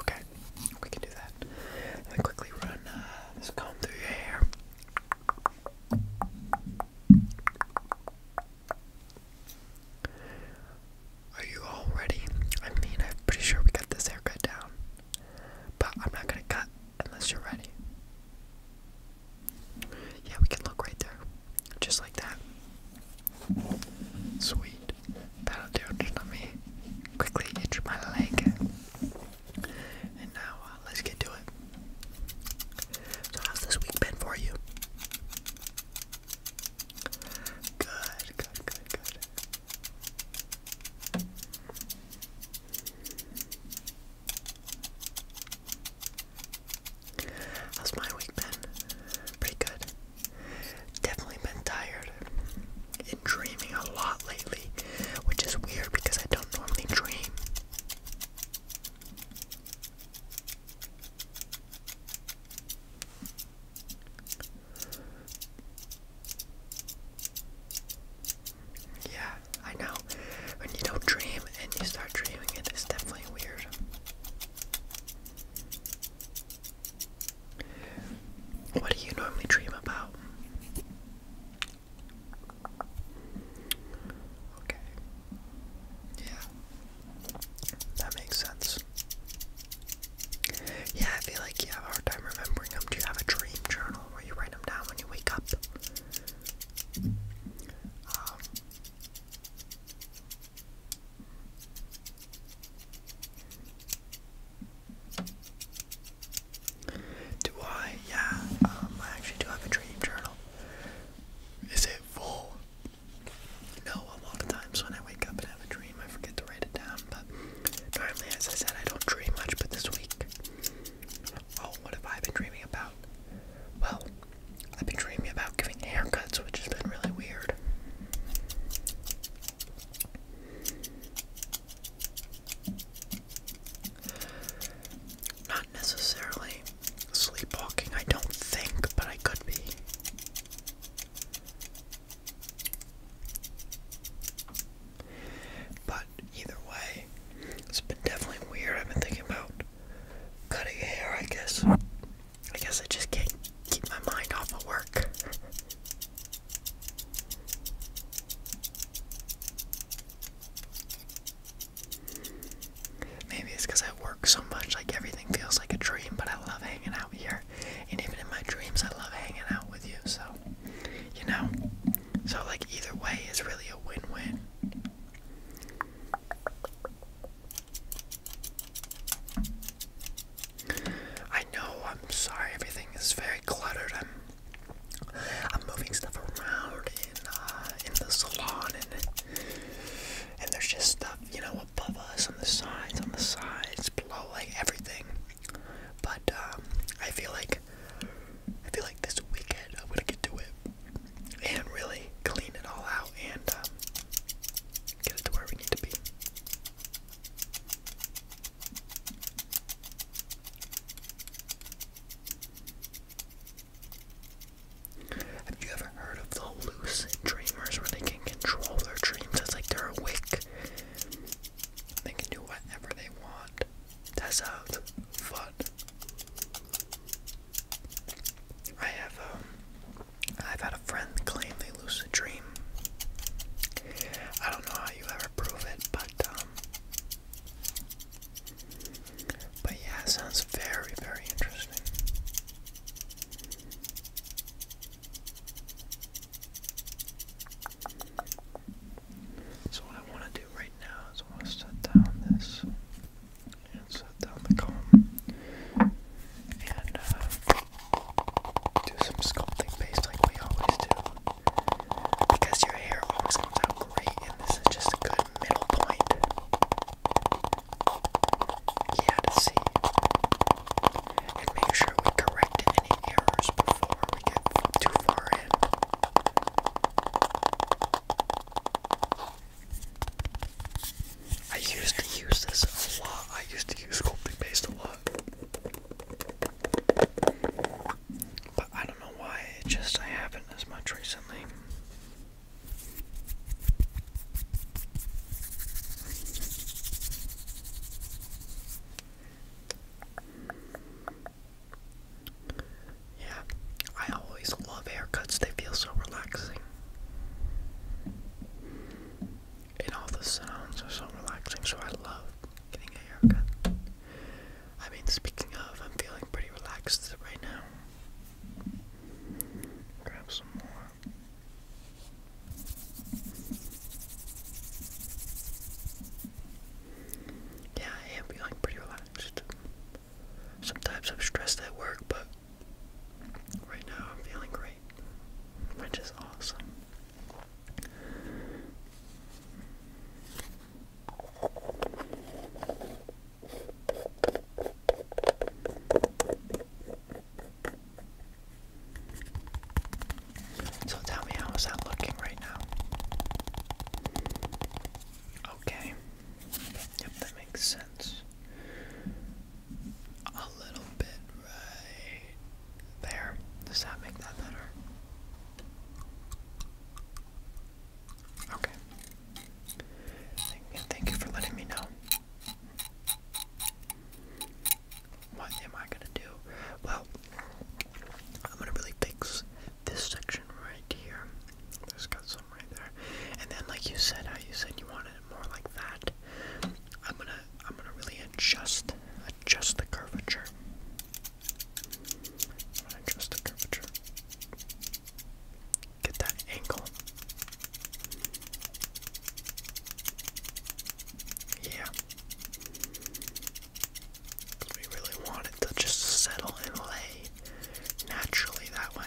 Okay, we can do that. Let quickly run uh, this comb through your hair. Are you all ready? I mean, I'm pretty sure we got this haircut down, but I'm not gonna cut unless you're ready. Yeah, we can look right there. Just like that. Sweet. That'll do it. Let me quickly itch my leg. And now, uh, let's get to it. So, how's this week been for you? Good, good, good, good. How's my week been? Pretty good. Definitely been tired and dreaming a lot lately, which is weird because I don't normally dream. Yeah, I know. When you don't dream and you start dreaming it's definitely weird. What do you normally dream about? Okay. Yeah. That makes sense. Yeah, I feel like you have a hard time remembering them. Do you have a dream journal where you write them down when you wake up? Um, do I? Yeah, um, I actually do have a dream journal. Is it full? No, a lot of times when I wake up and have a dream, I forget to write it down. But normally, as I said, I don't dream much, but this week Oh, what have I been dreaming about? Well, I've been dreaming about giving haircuts, which has been really weird. Not necessarily sleepwalking, I don't think, but I could be. But either way, it's been definitely weird. I've been thinking about cutting hair, I guess. I guess I just can't keep my mind off of work. Maybe it's because I work so much, like everything feels like a dream, but I love hanging out here. And even in my dreams, I love hanging out with you, so, you know? So, like, either way is really a win win. I know, I'm sorry, everything is very cluttered. I'm I'm moving stuff around in uh, in the salon and and there's just stuff, you know, above us, on the sides, on the sides, below, like everything. But um, I feel like I feel like this weekend I'm gonna get to it and really clean it all out and um, get it to where we need to be. Have you ever heard of the lucid dreamers where they can control their dreams? It's like they're awake. They can do whatever they want. That's sounds fun. I have um I've had a friend claim they lucid dream. I don't know how you ever prove it, but um but yeah, sounds very, very interesting. So what I want to do right now is I want to set down this and set down the comb and uh, do some sculpting based like we always do because your hair always comes out great and this is just a good middle point. Yeah, to see. And make sure we correct any errors before we get too far in. I used to use this a lot. I used to use sculpting paste a lot. But I don't know why, it just I haven't as much recently. Yeah, I always love haircuts, they feel so relaxing. And all the sounds are so relaxing, so I love getting a haircut. I mean, speaking of, I'm feeling pretty relaxed right now. Grab some more yeah, I am feeling pretty relaxed. Sometimes I'm stressed at work, but right now I'm feeling great, which is awesome. So tell me how is that looking right now. Okay. Yep, that makes sense. A little bit right there. Does that make that better? Okay. Thank, thank you for letting me know. What am I gonna do? Well, I'm gonna really fix this section right here. There's got some right there. And then like you said, I you said you wanted more like that. I'm gonna I'm gonna really adjust adjust the curvature. I'm gonna adjust the curvature. Get that angle. Yeah. Because we really want it to just settle and lay naturally that way.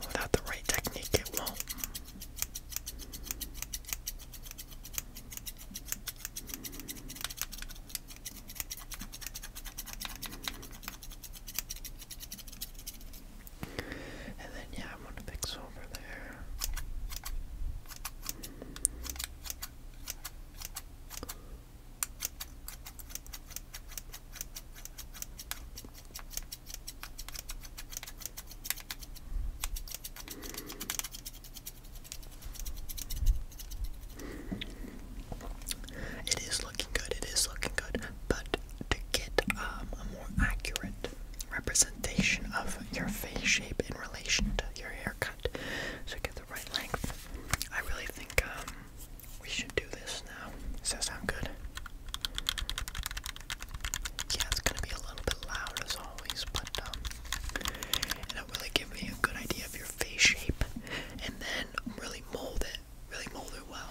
without the right technique, it won't. And then, yeah, I'm gonna fix over there. It is looking good, it is looking good, but to get um, a more accurate representation of your face shape in relation to your hair color, so I get the right length. I really think um, we should do this now. Does sound good? Yeah, it's gonna be a little bit loud as always, but um, it'll really give me a good idea of your face shape, and then really mold it, really mold it well.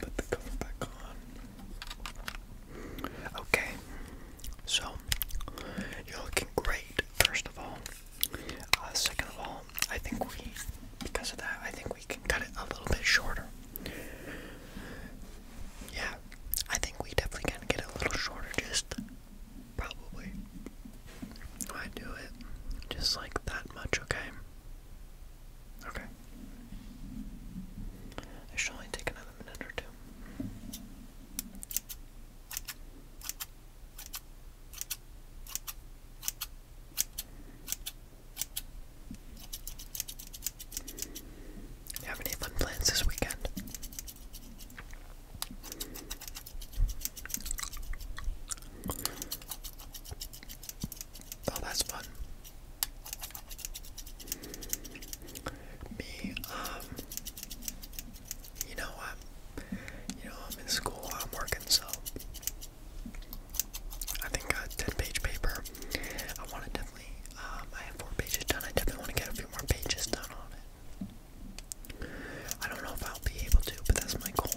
Put the cover back on. Okay, so you're looking great, first of all. Uh, second of all, I think we, because of that, I think we can cut it a little bit shorter. Yeah, I think we definitely can get a little shorter, just Probably. I do it just like that much, okay? Okay. It should only take another minute or two. have any fun plans this weekend? Oh, that's fun. Me, um, you know what? You know, I'm in school, I'm working, so I think a 10 page paper. I want to definitely, um, I have four pages done. I definitely want to get a few more pages done on it. I don't know if I'll be able to, but that's my goal.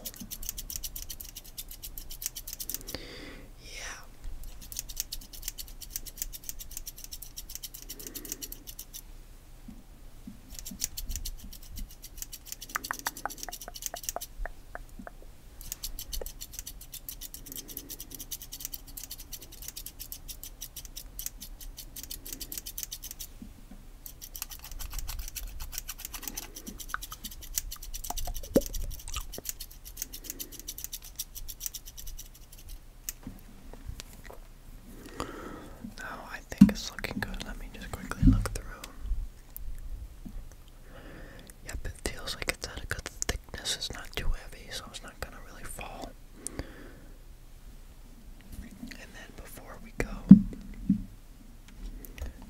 Yeah. Now oh, I think it's looking good. Let me just quickly look through. Yep, it feels like it's at a good thickness. It's not too heavy, so it's not gonna really fall. And then before we go,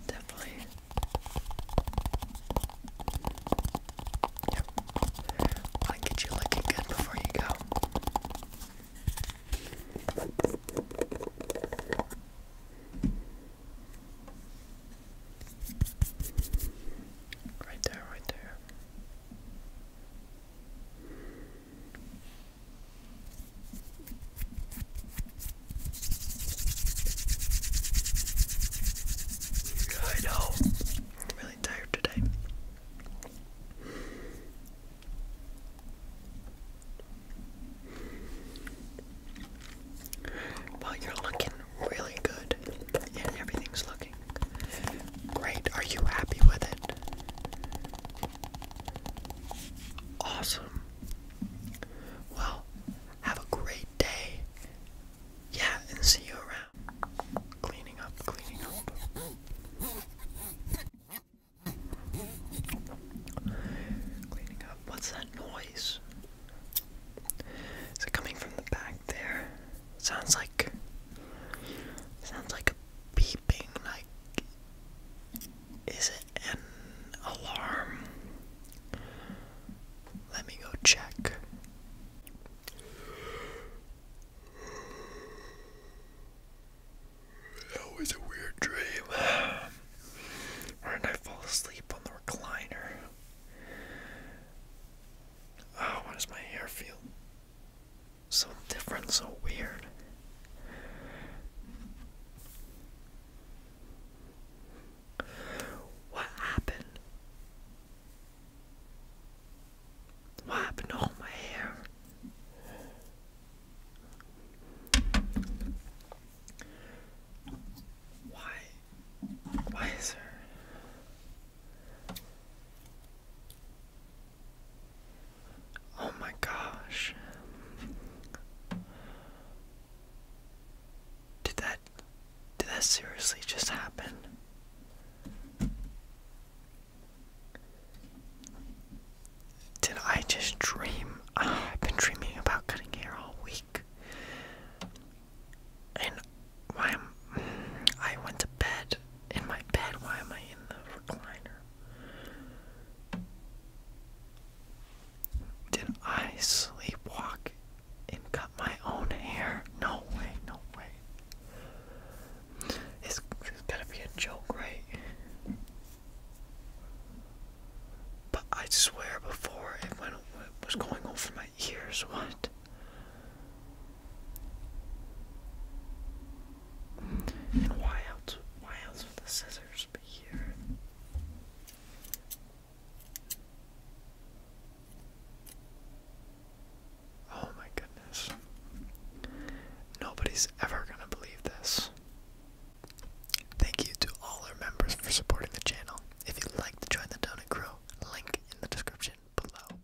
definitely. Yep. i get you looking good before you go. Right there, right there. I know. really tired today. Well, you're looking really good, and everything's looking great. Are you happy with it? Awesome. Well, have a great day. Yeah, and see you around. Cleaning up, cleaning up. Cleaning up. What's that noise? Is it coming from the back there? Sounds like sounds like beeping like is it an alarm? Let me go check. That was a weird dream. Why did I fall asleep on the recliner? Oh, why does my hair feel so different, so weird. What happened? What happened to my hair? Why? Why is there? Oh my gosh. Did that did that seriously just happen? Did I just dream? Ah, I've been dreaming about cutting hair all week. And why I went to bed in my bed. Why am I in the recliner? Did I sleepwalk and cut my own hair? No way, no way. This is going to be a joke, right? But I swear before it, went, it was going over my ears. What? And why else? Why else would the scissors be here? Oh my goodness. Nobody's ever gonna believe this. Thank you to all our members for supporting the channel. If you'd like to join the Donut Crew, link in the description below.